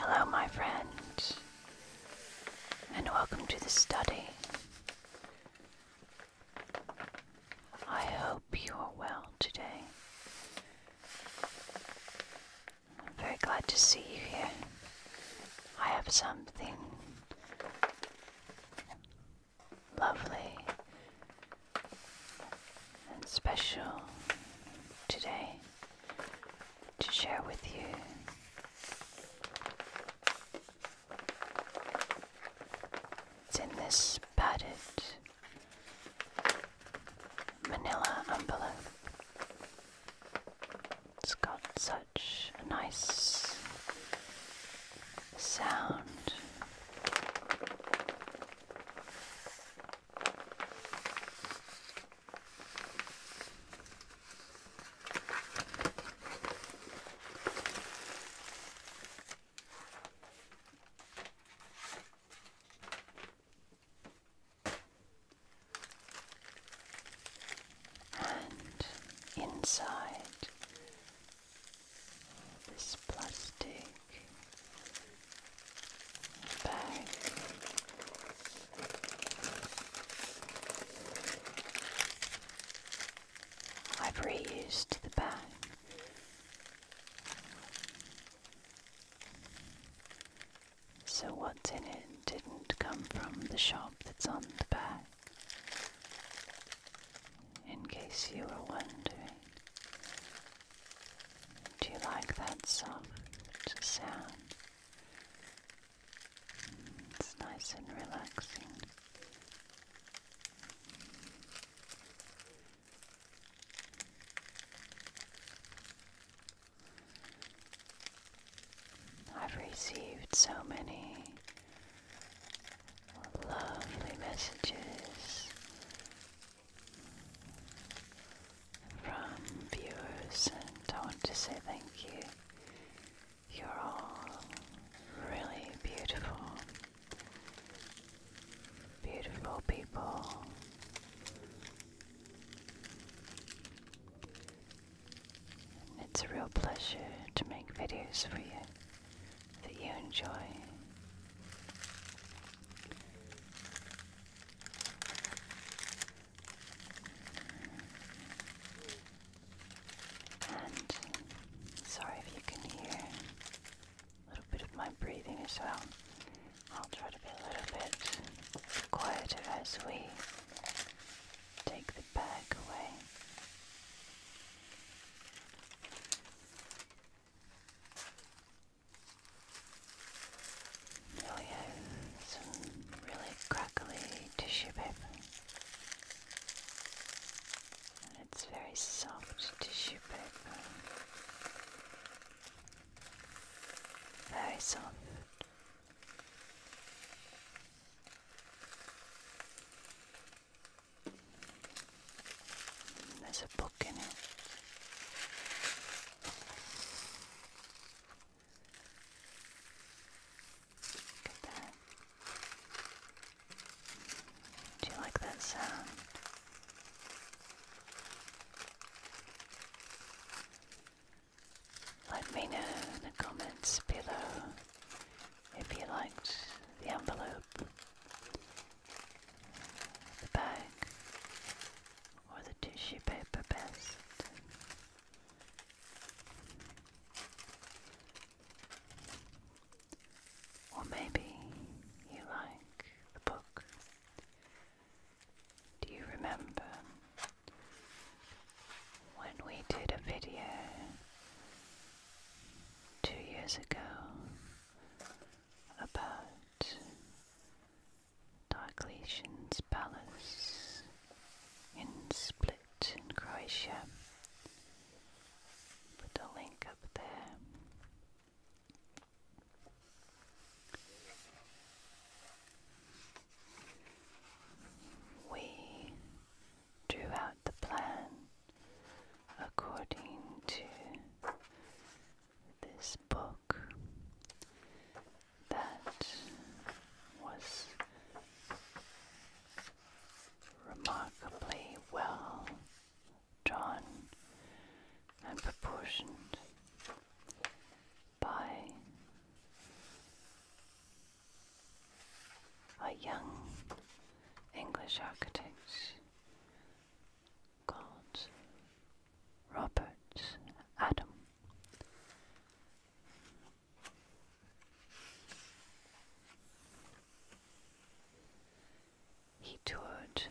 Hello, my friend, and welcome to the study. I hope you are well today. I'm very glad to see you here. I have something lovely and special today to share with you. It's in this padded manila envelope. It's got such a nice sound. And inside this plastic bag. I've reused the bag so what's in it didn't come from the shop that's on the back. In case you were wondering, do you like that soft sound? It's nice and relaxing. I've received so many lovely messages from viewers, and I want to say thank you. You're all really beautiful, beautiful people it's a real pleasure to make videos for you that you enjoy. And sorry if you can hear a little bit of my breathing as well. I'll try to be a little bit quieter as we take the bag away. Now we have some really crackly tissue paper. And it's very soft tissue paper. Very soft. There's a book in it. Look at that. Do you like that sound? Let me know in the comments below if you liked the envelope, the bag, or the tissue paper best. Or maybe you like the book. Do you remember when we did a video two years ago about Diocletian's palace in Split in Croatia. Put a link up there. We drew out the plan according to this book that was remarkably well drawn and proportioned by a young English architect called Robert Adam. He toured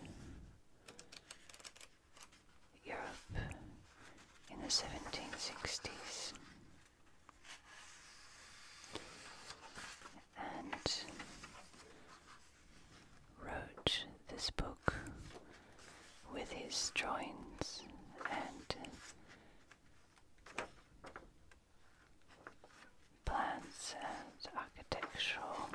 Europe in the 1760s. And wrote this book with his drawings and plans and architectural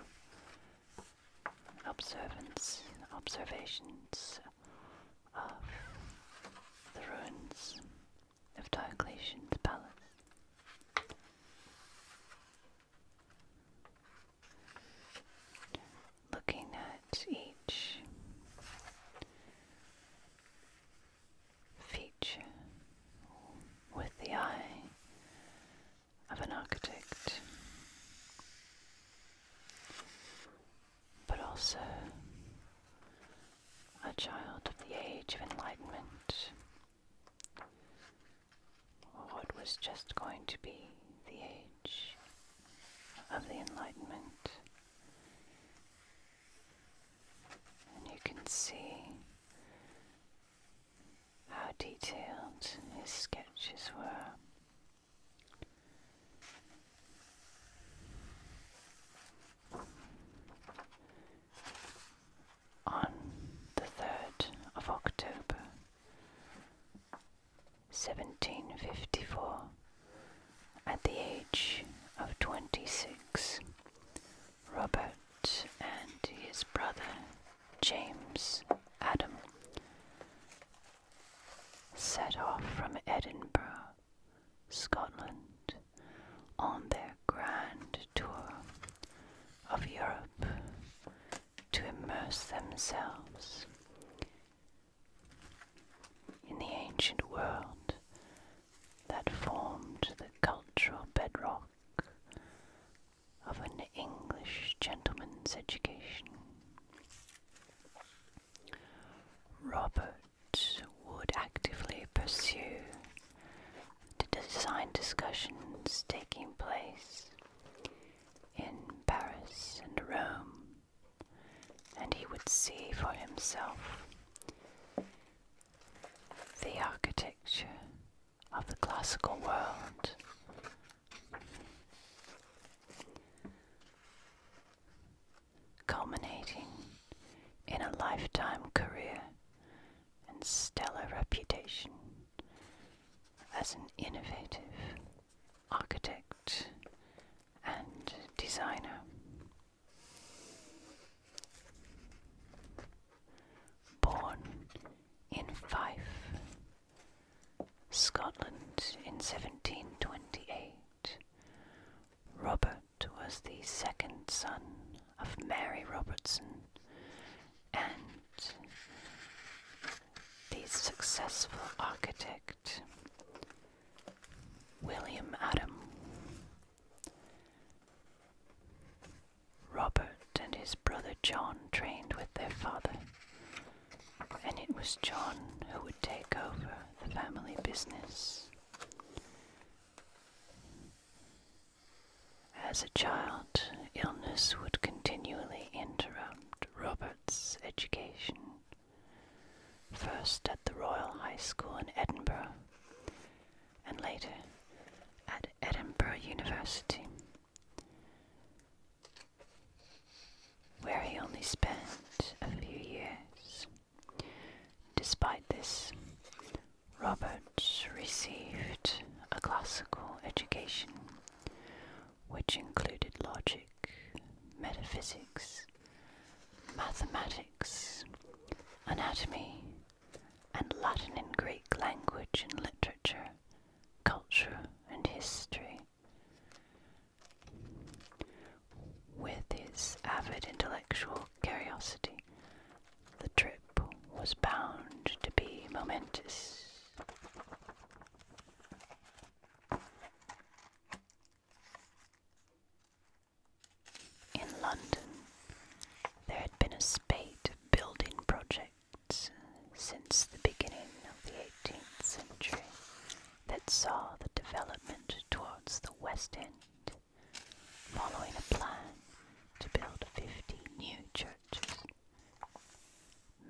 observations of the ruins of Diocletian's palace. Looking at each feature with the eye of an architect but also a child of the age of enlightenment, what was just going to be the age of the enlightenment. And you can see how detailed his sketches were. On the 3rd of October 1754, at the age of 26, Robert and his brother James Adam set off from Edinburgh, Scotland, on their grand tour of Europe to immerse themselves in the ancient world that formed the cultural bedrock of an English gentleman's education. Robert would actively pursue the design discussions taking place in Paris and Rome, and he would see for himself the architecture of the classical world culminating in a lifetime career and stellar reputation as an innovative architect and designer. Born in Fife Scotland in 1728. Robert was the second son of Mary Robertson and the successful architect William Adam. Robert and his brother John trained with their father, and it was John who would take over the family business. As a child, illness would continually interrupt Robert's education, first at the Royal High School in Edinburgh, and later at Edinburgh University where he only spent a few years. Despite this, Robert received a classical education which included logic, metaphysics, mathematics, anatomy, and Latin and Greek language and literature, culture and history. With his avid intellectual curiosity, the trip was bound to be momentous. In London, there had been a spate of building projects since the beginning of the 18th century, that saw the development towards the west end, following a plan to build 50 new churches.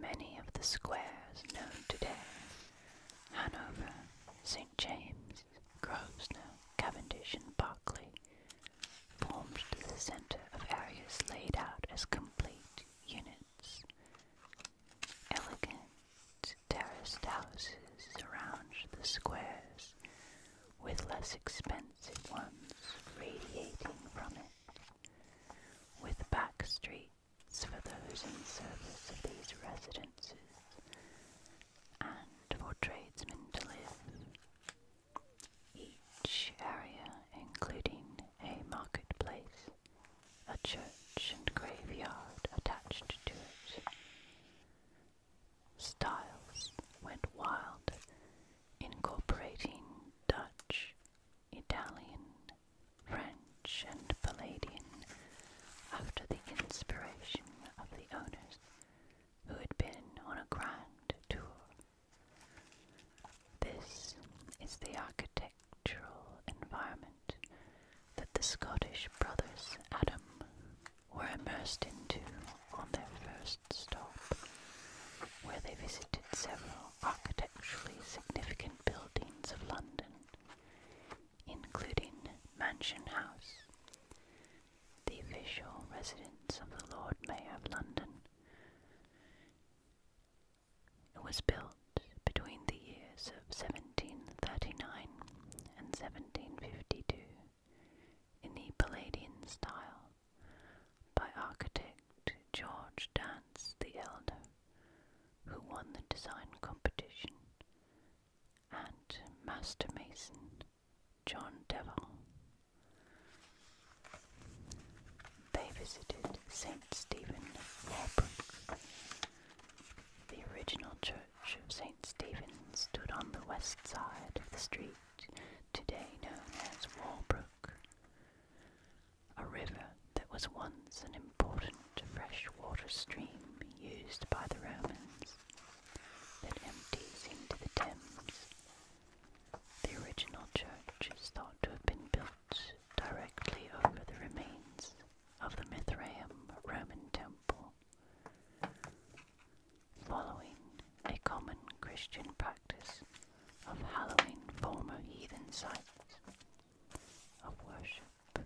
Many of the squares known today Hanover, St. James, Grosvenor, Cavendish, and Berkeley formed the centre of areas laid out as complete units, Elegant terraced houses surround the squares, with less expensive ones radiating from it, with back streets for those in service of these residences, and for tradesmen to live. Each area, including a marketplace, a church and graveyard attached to it. Styles went wild, incorporating Dutch, Italian, French, and Palladian after the inspiration of the owners who had been on a grand tour. This is the architect natural environment that the Scottish brothers Adam were immersed into on their first stop, where they visited several architecturally significant buildings of London, including Mansion House, the official residence of the Lord Mayor of London. It was built between the years of 1739 and 1752 in the Palladian style by architect George Dance the Elder, who won the design competition, and master mason John Devon they visited St. Stephen Warbrook. The original church of St. Stephen stood on the west side of the street, today known as Warbrook, a river that was once an important freshwater stream used by the Romans that empties into the Thames. The original church is thought to have been built directly over the remains of the Mithraeum Roman temple. Following a common Christian practice of hallowing former heathen sites of worship,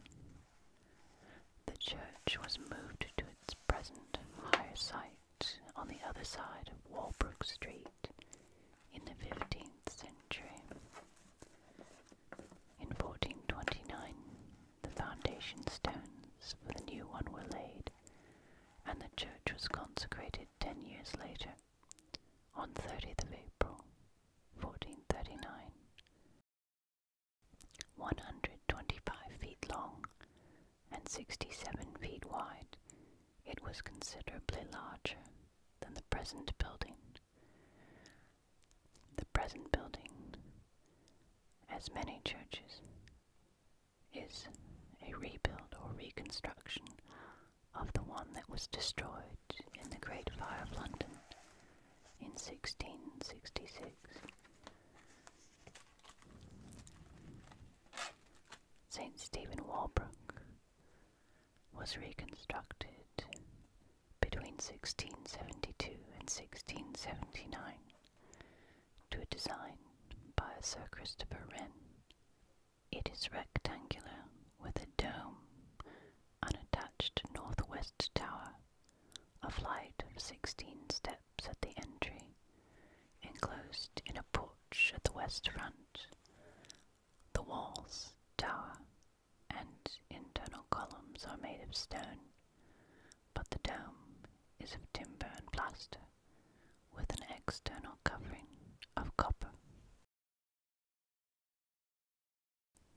the church was moved to its present higher site on the other side of Walbrook Street in the 15th century. In 1429, the foundation stones for the new one were laid, and the church was consecrated ten years later, on 30th April, 1439. 125 feet long and 67 feet wide, it was considerably larger than the present building the present building, as many churches, is a rebuild or reconstruction of the one that was destroyed in the Great Fire of London in 1666. St. Stephen Walbrook was reconstructed between 1672 and 1679 to a design by Sir Christopher Wren. It is rectangular with a dome, an attached northwest tower, a flight of 16 steps at the entry, enclosed in a porch at the west front. The walls, tower, and internal columns are made of stone, but the dome is of timber and plaster, with an external covering of copper.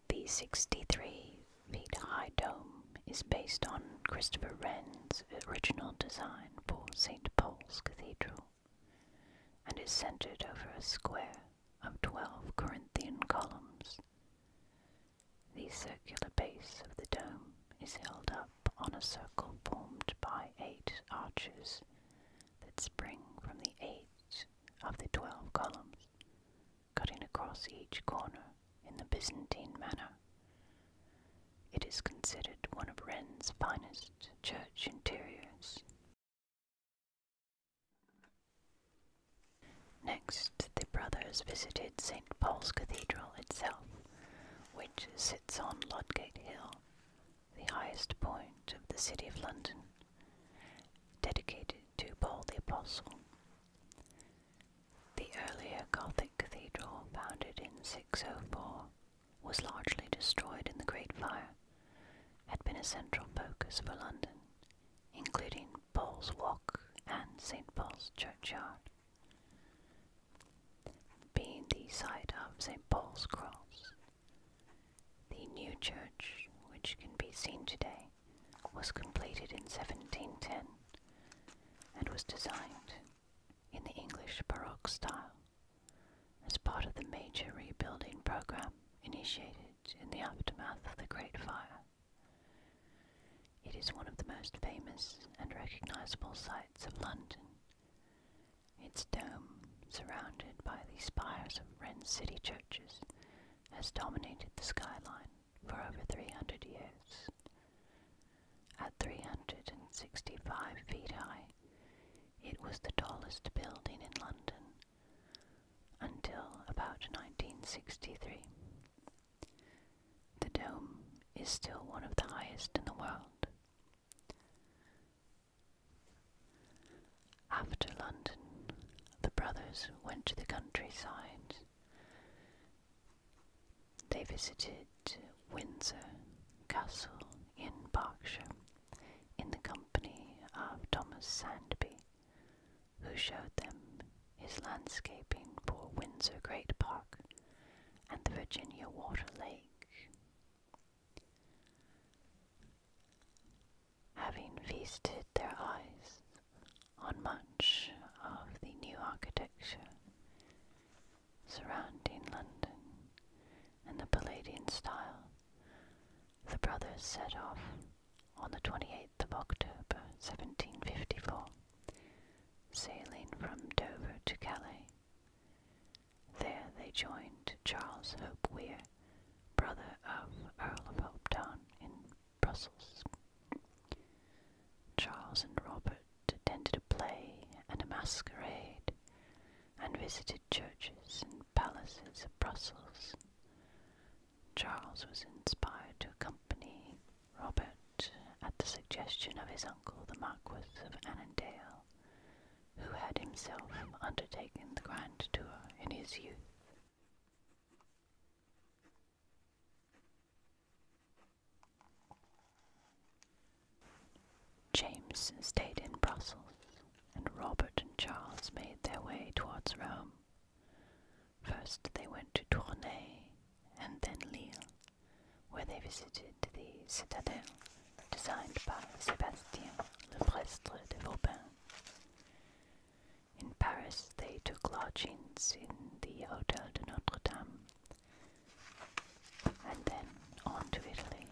The 63 feet high dome is based on Christopher Wren's original design for St. Paul's Cathedral and is centered over a square of 12 Corinthian columns. The circular base of the dome is held up on a circle formed by eight arches that spring from the eight of the 12 columns, cutting across each corner in the Byzantine manner. It is considered one of Ren's finest church interiors Next, the brothers visited St. Paul's Cathedral itself, which sits on Ludgate Hill, the highest point of the City of London, dedicated to Paul the Apostle. The earlier Gothic cathedral, founded in 604, was largely destroyed in the Great Fire, had been a central focus for London, including Paul's Walk and St Paul's Churchyard, being the site of St Paul's Cross. The new church, which can be seen today, was completed in 1710 and was designed in the English Baroque style as part of the major rebuilding program initiated in the aftermath of the Great Fire. It is one of the most famous and recognizable sights of London. Its dome, surrounded by the spires of Wren's city churches, has dominated the skyline for over 300 years. At 365 feet high, it was the tallest building in London until about 1963. The dome is still one of the highest in the world. After London, the brothers went to the countryside. They visited Windsor Castle in Berkshire in the company of Thomas Sandby, who showed them his landscaping for Windsor Great Park and the Virginia Water Lake. Having feasted their eyes on much of the new architecture surrounding London in the Palladian style the brothers set off on the 28th of October 1754, sailing from Dover to Calais. There they joined Charles Hope Weir, brother of Earl of Hopetoun, in Brussels. Charles and Robert attended a play and a masquerade, and visited churches and palaces of Brussels. Charles was inspired to accompany Robert at the suggestion of his uncle, the Marquis of Annandale, who had himself undertaken the grand tour in his youth. James stayed in Brussels and Robert and Charles made their way towards Rome. First they went to Tournai and then Lille, where they visited the citadel designed by Sebastien Le Prestre de Vauban. In Paris they took lodgings in the Hotel de Notre Dame and then on to Italy.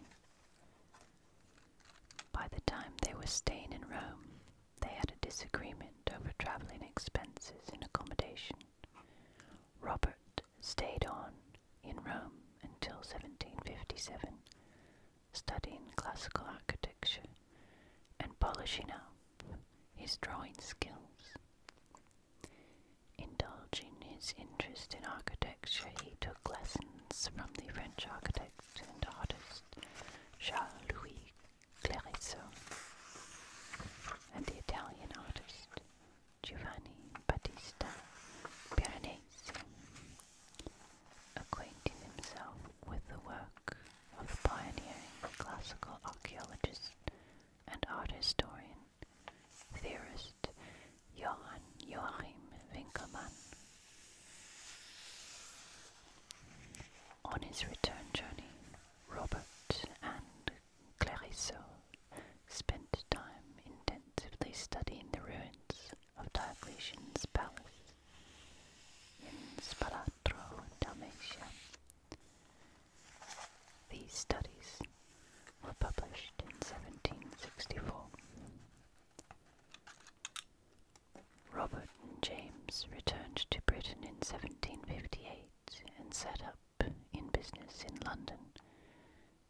By the time they were staying in Rome, they had a disagreement over travelling expenses and accommodation. Robert stayed on in Rome until 1757, studying classical architecture and polishing up his drawing skills. Indulging his interest in architecture, he took lessons from the French architect architect and artist Charles Louis Clerisson and the Italian artist Giovanni Battista Piranesi, acquainting himself with the work of the pioneering classical archaeologist and art historian, theorist Johann Joachim Winkelmann. On his return journey, Robert and Clerisot spent time intensively studying the ruins of Diocletian's palace in Spalatro, Dalmatia. These studies were published in 1764. Robert and James returned to Britain in 1758 and set up in business in London,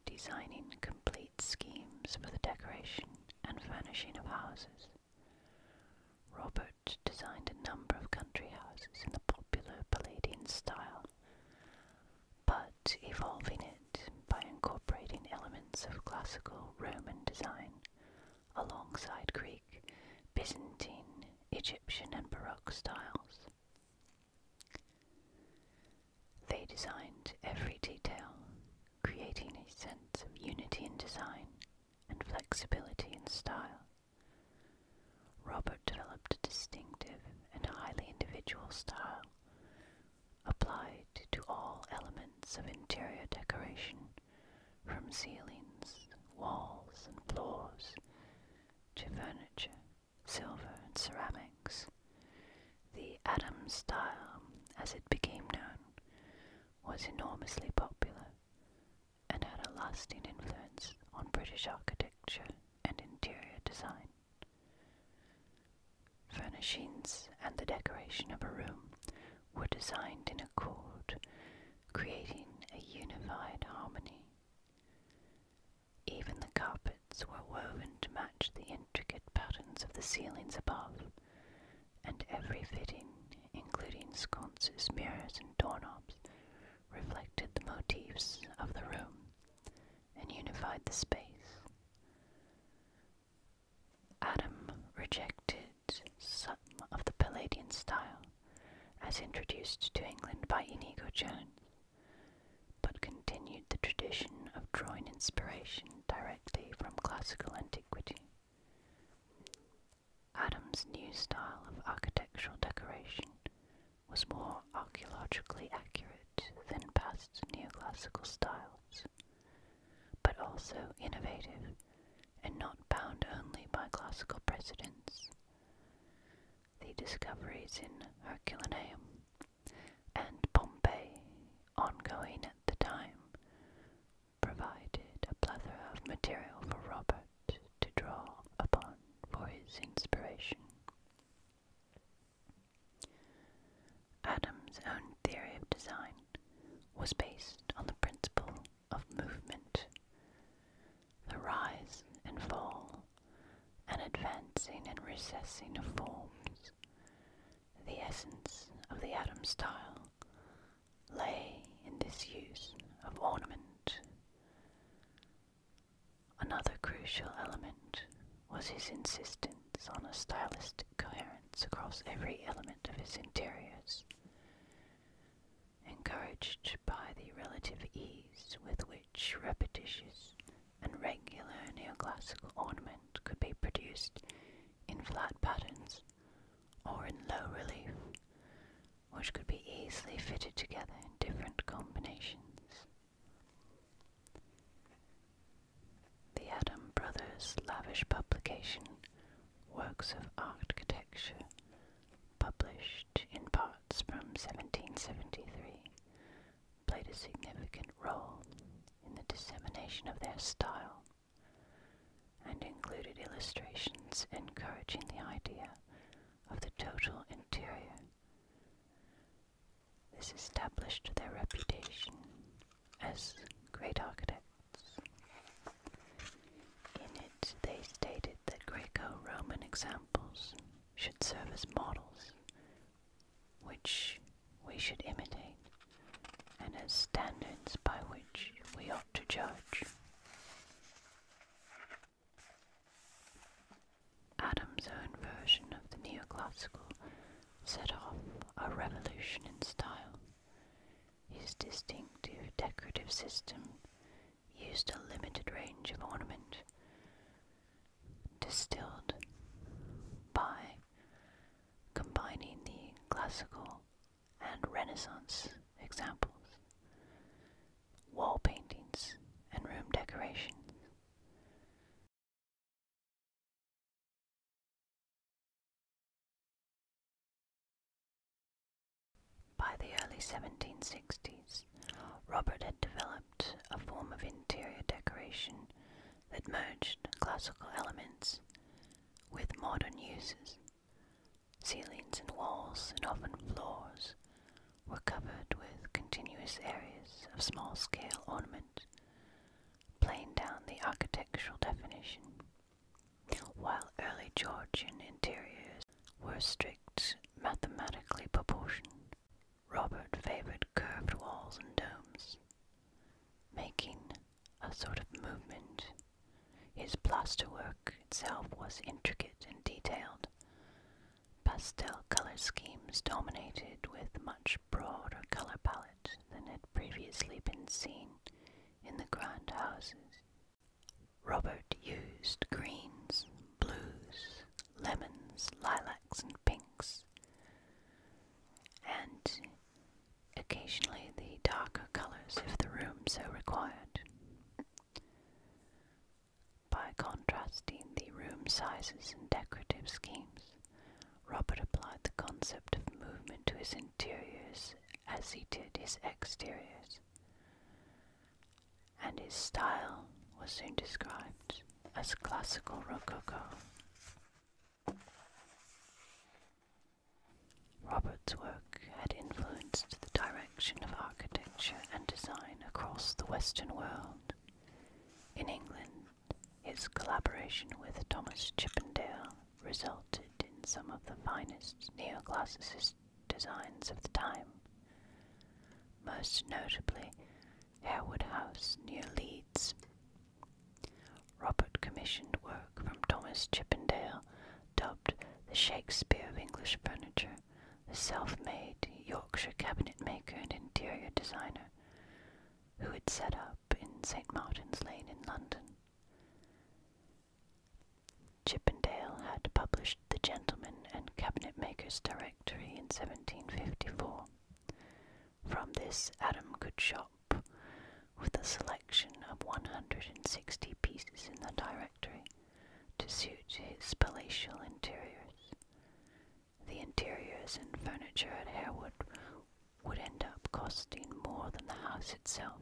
designing complete schemes for the decoration and furnishing of houses. Robert designed a number of country houses in the popular Palladian style, but evolving it by incorporating elements of classical Roman design alongside Greek, Byzantine, Egyptian, and Baroque styles. They designed every detail, creating a sense of unity in design and flexibility in style. Robert developed a distinctive and highly individual style, applied to all elements of interior decoration, from ceilings, walls, and floors to furniture, silver, and ceramics. The Adam style, as it became known, was enormously popular and had a lasting influence on British architecture and interior design. Furnishings and the decoration of a room were designed in accord, creating a unified harmony. Even the carpets were woven to match the intricate patterns of the ceilings above, and every fitting, including sconces, mirrors, and doorknobs, reflected the motifs of the room and unified the space. Adam rejected some of the Palladian style as introduced to England by Inigo Jones, but continued the tradition of drawing inspiration directly from classical antiquity. Adam's new style of architectural decoration was more archaeologically accurate than past neoclassical styles but also innovative and not bound only by classical precedents. The discoveries in Herculaneum and Pompeii, ongoing at the time, provided a plethora of material for Robert to draw upon for his inspiration. Adam's own theory of design was based on the principle of movement, the rise and fall, and advancing and recessing of forms. The essence of the atom style lay in this use of ornament. Another crucial element was his insistence on a stylistic coherence across every element of its interiors. Encouraged by the relative ease with which repetitious and regular neoclassical ornament could be produced in flat patterns or in low relief, which could be easily fitted together in different combinations. The Adam Brothers' lavish publication, Works of Architecture, published in parts from 1773, played a significant role in the dissemination of their style and included illustrations encouraging the idea of the total interior. This established their reputation as great architects. In it, they stated that Greco Roman examples should serve as models, which we should imitate, and as standards by which we ought to judge. Adam's own version of the neoclassical set off a revolution in style. His distinctive decorative system used a limited range of ornament distilled by combining the classical and Renaissance examples, wall paintings, and room decorations. By the early 1760s, Robert had developed a form of interior decoration that merged classical elements with modern uses. Ceilings and walls, and often floors, were covered with continuous areas of small scale ornament, playing down the architectural definition. While early Georgian interiors were strict mathematically proportioned, Robert favoured curved walls and domes, making a sort of movement. His plasterwork itself was intricate and detailed. Pastel color schemes dominated with much broader color palette than had previously been seen in the grand houses. Robert used greens, blues, lemons, lilacs, and pinks, and occasionally the darker colors if the room so required. By contrasting the room sizes and decorative schemes Robert applied the concept of movement to his interiors as he did his exteriors, and his style was soon described as classical rococo. Robert's work had influenced the direction of architecture and design across the Western world. In England, his collaboration with Thomas Chippendale resulted in some of the finest neoclassicist designs of the time. Most notably, Harewood House near Leeds. Robert commissioned work from Thomas Chippendale, dubbed the Shakespeare of English Furniture, the self-made Yorkshire cabinetmaker and interior designer, who had set up in St. Martin's Lane in London. Chippendale had published the Gentleman and Cabinet Makers Directory in 1754. From this, Adam could shop with a selection of 160 pieces in the directory to suit his palatial interiors. The interiors and furniture at Harewood would end up costing more than the house itself.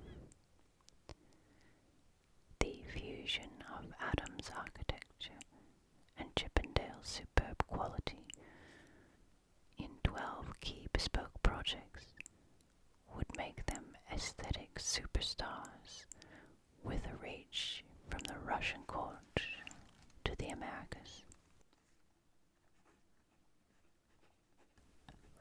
The fusion of Adams' architecture and Chippendale's superb quality in 12 key bespoke projects would make them aesthetic superstars with a reach from the Russian court to the Americas.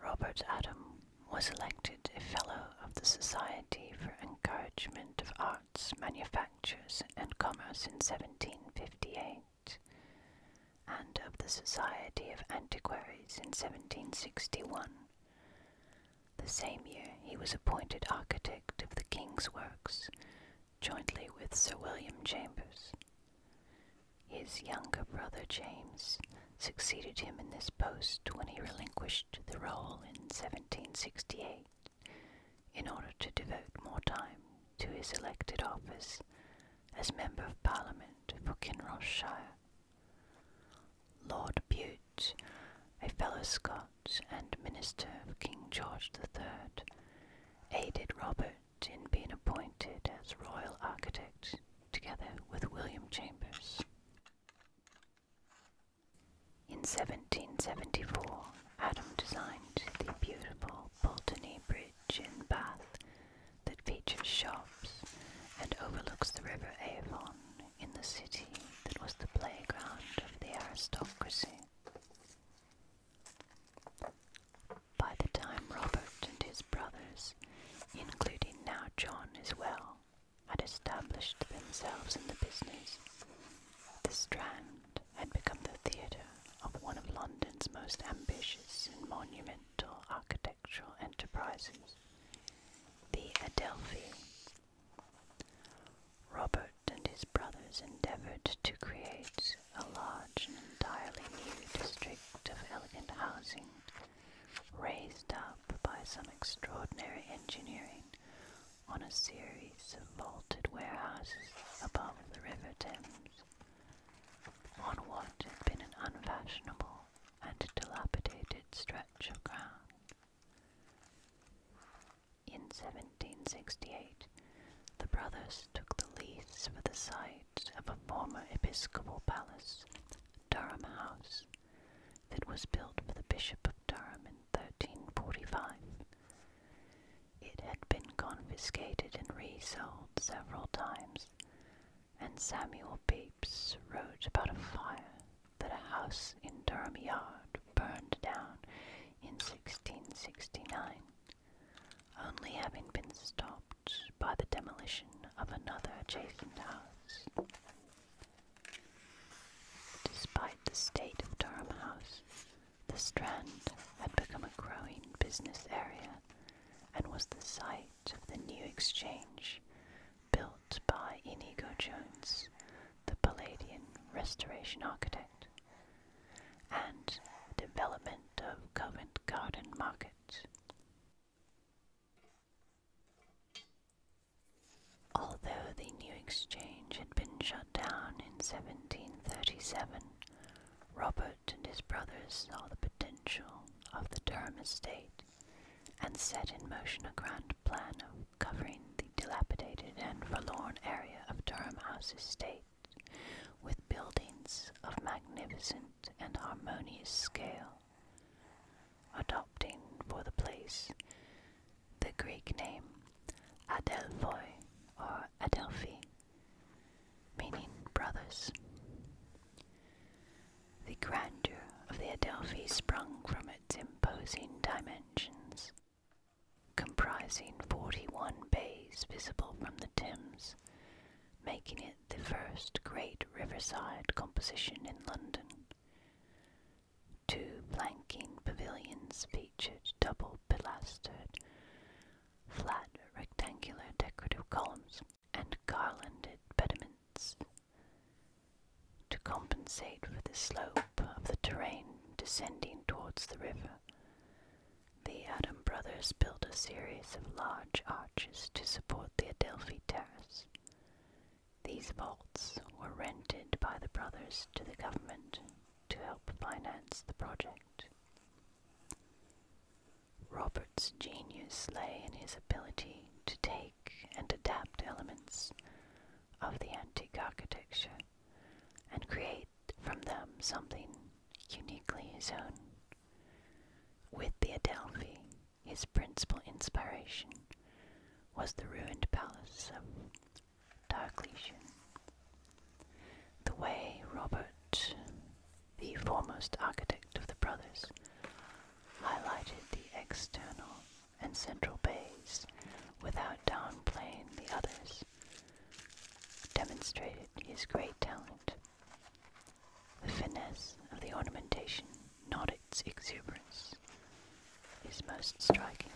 Robert Adam was elected a Fellow of the Society for Encouragement of Arts, Manufactures, and Commerce in 1758, and of the Society of Antiquaries in 1761. The same year he was appointed architect of the King's Works, jointly with Sir William Chambers. His younger brother James succeeded him in this post when he relinquished the role in 1768 in order to devote more time to his elected office as Member of Parliament for Kinrossshire. Lord Bute, a fellow Scot and minister of King George III, aided Robert in being appointed as royal architect together with William Chambers. In 1774, Adam designed the beautiful Pulteney Bridge in Bath that features shops and overlooks the River Avon in the city that was the playground of the aristocracy. By the time Robert and his brothers, including now John as well, had established themselves in the business, the Strand had become the theatre of one of London's most ambitious and monumental architectural enterprises, the Adelphi. Robert and his brothers endeavoured to create a large and entirely new district of elegant housing, raised up by some extraordinary engineering on a series of vaulted warehouses above the River Thames, on what had been an unfashionable and dilapidated stretch of ground. In 1768, the brothers took the lease for the site of a former episcopal palace, Durham House, that was built for the Bishop of Durham in 1345. It had been confiscated and resold several times, and Samuel Pepys wrote about a fire that a house in Durham Yard burned down in 1669 only having been stopped by the demolition of another adjacent house. Despite the state of Durham House, the Strand had become a growing business area and was the site of the new exchange built by Inigo Jones, the Palladian restoration architect, and development of Covent Garden Market. Although the new exchange had been shut down in 1737, Robert and his brothers saw the potential of the Durham estate and set in motion a grand plan of covering the dilapidated and forlorn area of Durham House Estate with buildings of magnificent resonant and harmonious scale, adopting for the place the Greek name Adelphoi or Adelphi, meaning brothers. The grandeur of the Adelphi sprung from its imposing dimensions, comprising 41 bays visible from the Thames making it the first great riverside composition in London. Two planking pavilions featured double pilastered, flat rectangular decorative columns and garlanded pediments. To compensate for the slope of the terrain descending towards the river, the Adam brothers built a series of large arches to support the Adelphi Terrace. These vaults were rented by the brothers to the government to help finance the project. Robert's genius lay in his ability to take and adapt elements of the antique architecture and create from them something uniquely his own. With the Adelphi, his principal inspiration was the ruined palace of Diocletian. The way Robert, the foremost architect of the brothers, highlighted the external and central bays without downplaying the others, demonstrated his great talent the finesse of the ornamentation, not its exuberance, is most striking.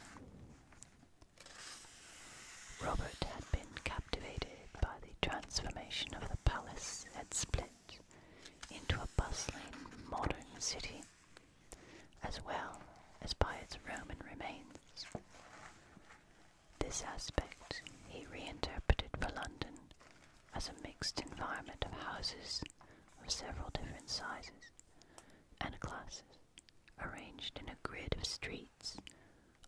Robert had been captivated by the transformation of the palace at Split into a bustling modern city, as well as by its Roman remains. This aspect he reinterpreted for London as a mixed environment of houses of several different sizes and classes, arranged in a grid of streets,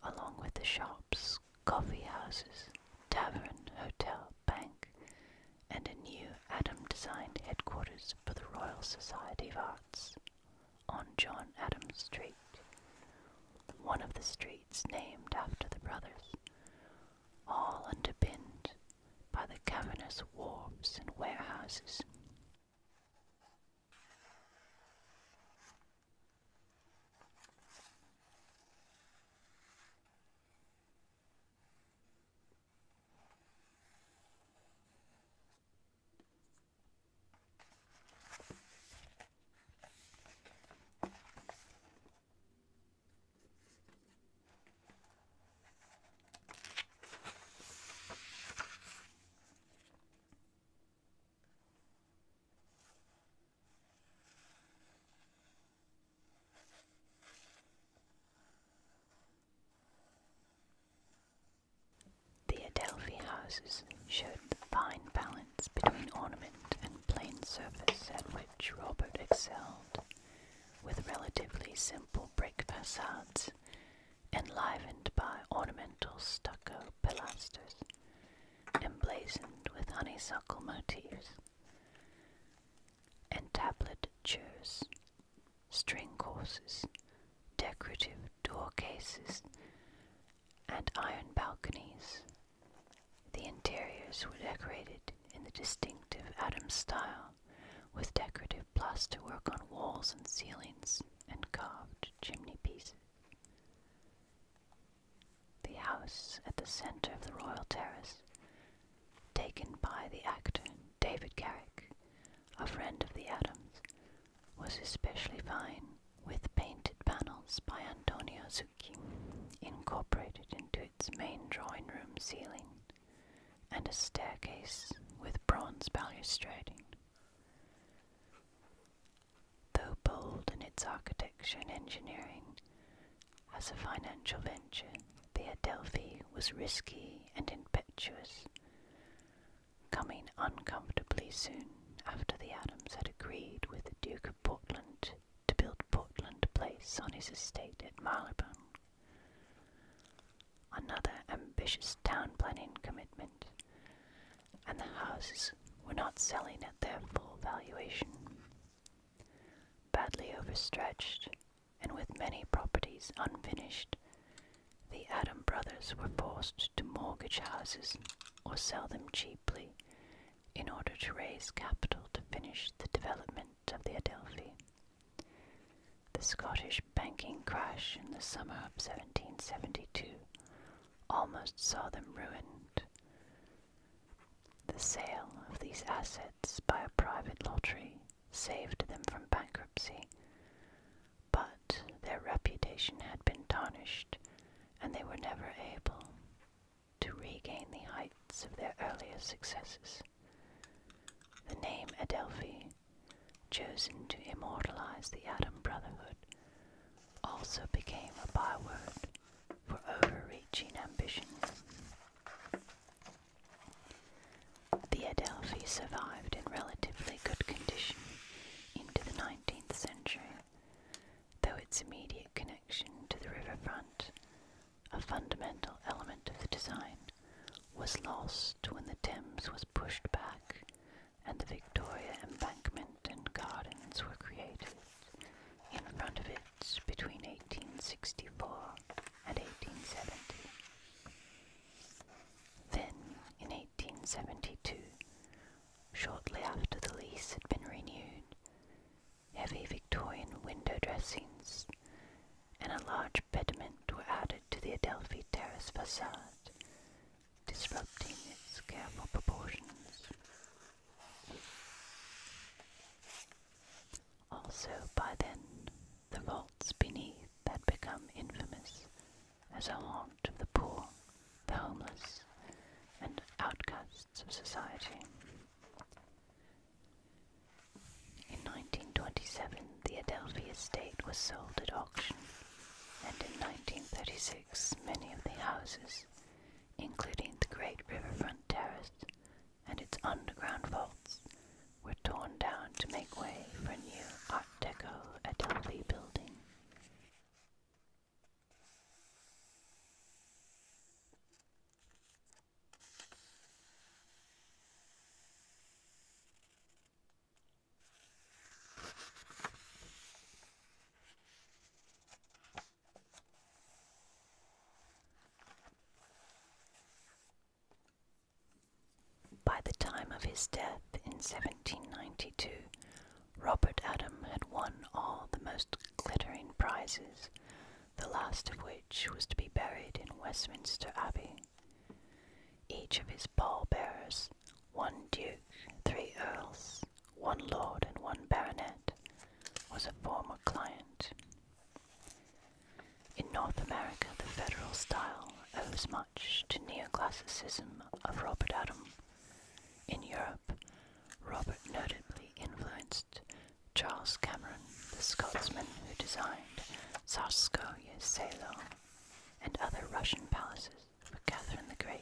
along with the shops, coffee houses, tavern, hotel, bank, and a new Adam-designed headquarters for the Royal Society of Arts on John Adams Street one of the streets named after the brothers, all underpinned by the cavernous wharves and warehouses. The Adelphi houses showed the fine balance between ornament and plain surface at which Robert excelled, with relatively simple brick facades enlivened by ornamental stucco pilasters emblazoned with honeysuckle motifs, and tablet chairs, string courses, decorative door cases, and iron balconies the interiors were decorated in the distinctive Adams style, with decorative plasterwork on walls and ceilings and carved chimney pieces. The house at the center of the Royal Terrace, taken by the actor David Garrick, a friend of the Adams, was especially fine with painted panels by Antonio Zucchi incorporated into its main drawing room ceiling, and a staircase with bronze balustrading. Though bold in its architecture and engineering, as a financial venture, the Adelphi was risky and impetuous, coming uncomfortably soon after the Adams had agreed with the Duke of Portland to build Portland Place on his estate at Marylebone. Another ambitious town planning commitment, and the houses were not selling at their full valuation. Badly overstretched, and with many properties unfinished, the Adam brothers were forced to mortgage houses or sell them cheaply in order to raise capital to finish the development of the Adelphi. The Scottish banking crash in the summer of 1772 almost saw them ruined. The sale of these assets by a private lottery saved them from bankruptcy, but their reputation had been tarnished and they were never able to regain the heights of their earlier successes. The name Adelphi, chosen to immortalize the Adam Brotherhood, also became a byword for overreaching ambition. The Adelphi survived in relatively good condition into the 19th century though its immediate connection to the riverfront, a fundamental element of the design, was lost when the Thames was pushed back and the Victoria Embankment and Gardens were created in front of it between 1864 and 1870. Then, in 1872, Shortly after the lease had been renewed, heavy Victorian window dressings and a large pediment were added to the Adelphi Terrace facade, disrupting its careful proportions. Also, by then, the vaults beneath had become infamous as a haunt of the poor, the homeless, and outcasts of society. In 1927, the Adelphi estate was sold at auction, and in 1936, many of the houses, including the great riverfront terrace and its underground vaults, were torn down to make way for a new Art Deco Adelphi building. By the time of his death in 1792, Robert Adam had won all the most glittering prizes, the last of which was to be buried in Westminster Abbey. Each of his pallbearers, one duke, three earls, one lord, and one baronet, was a former client. In North America, the federal style owes much to neoclassicism of Robert Adam. In Europe, Robert notably influenced Charles Cameron, the Scotsman who designed Tsarskoye Selo and other Russian palaces for Catherine the Great.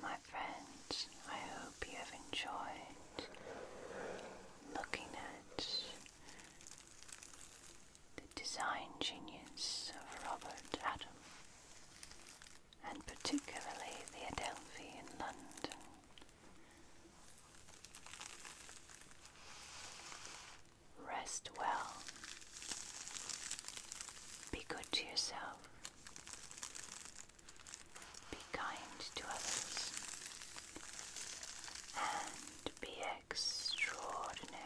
My friends, I hope you have enjoyed looking at the design genius of Robert Adam and particularly the Adelphi in London. Rest well. Be good to yourself. Be kind to others. And be extraordinary.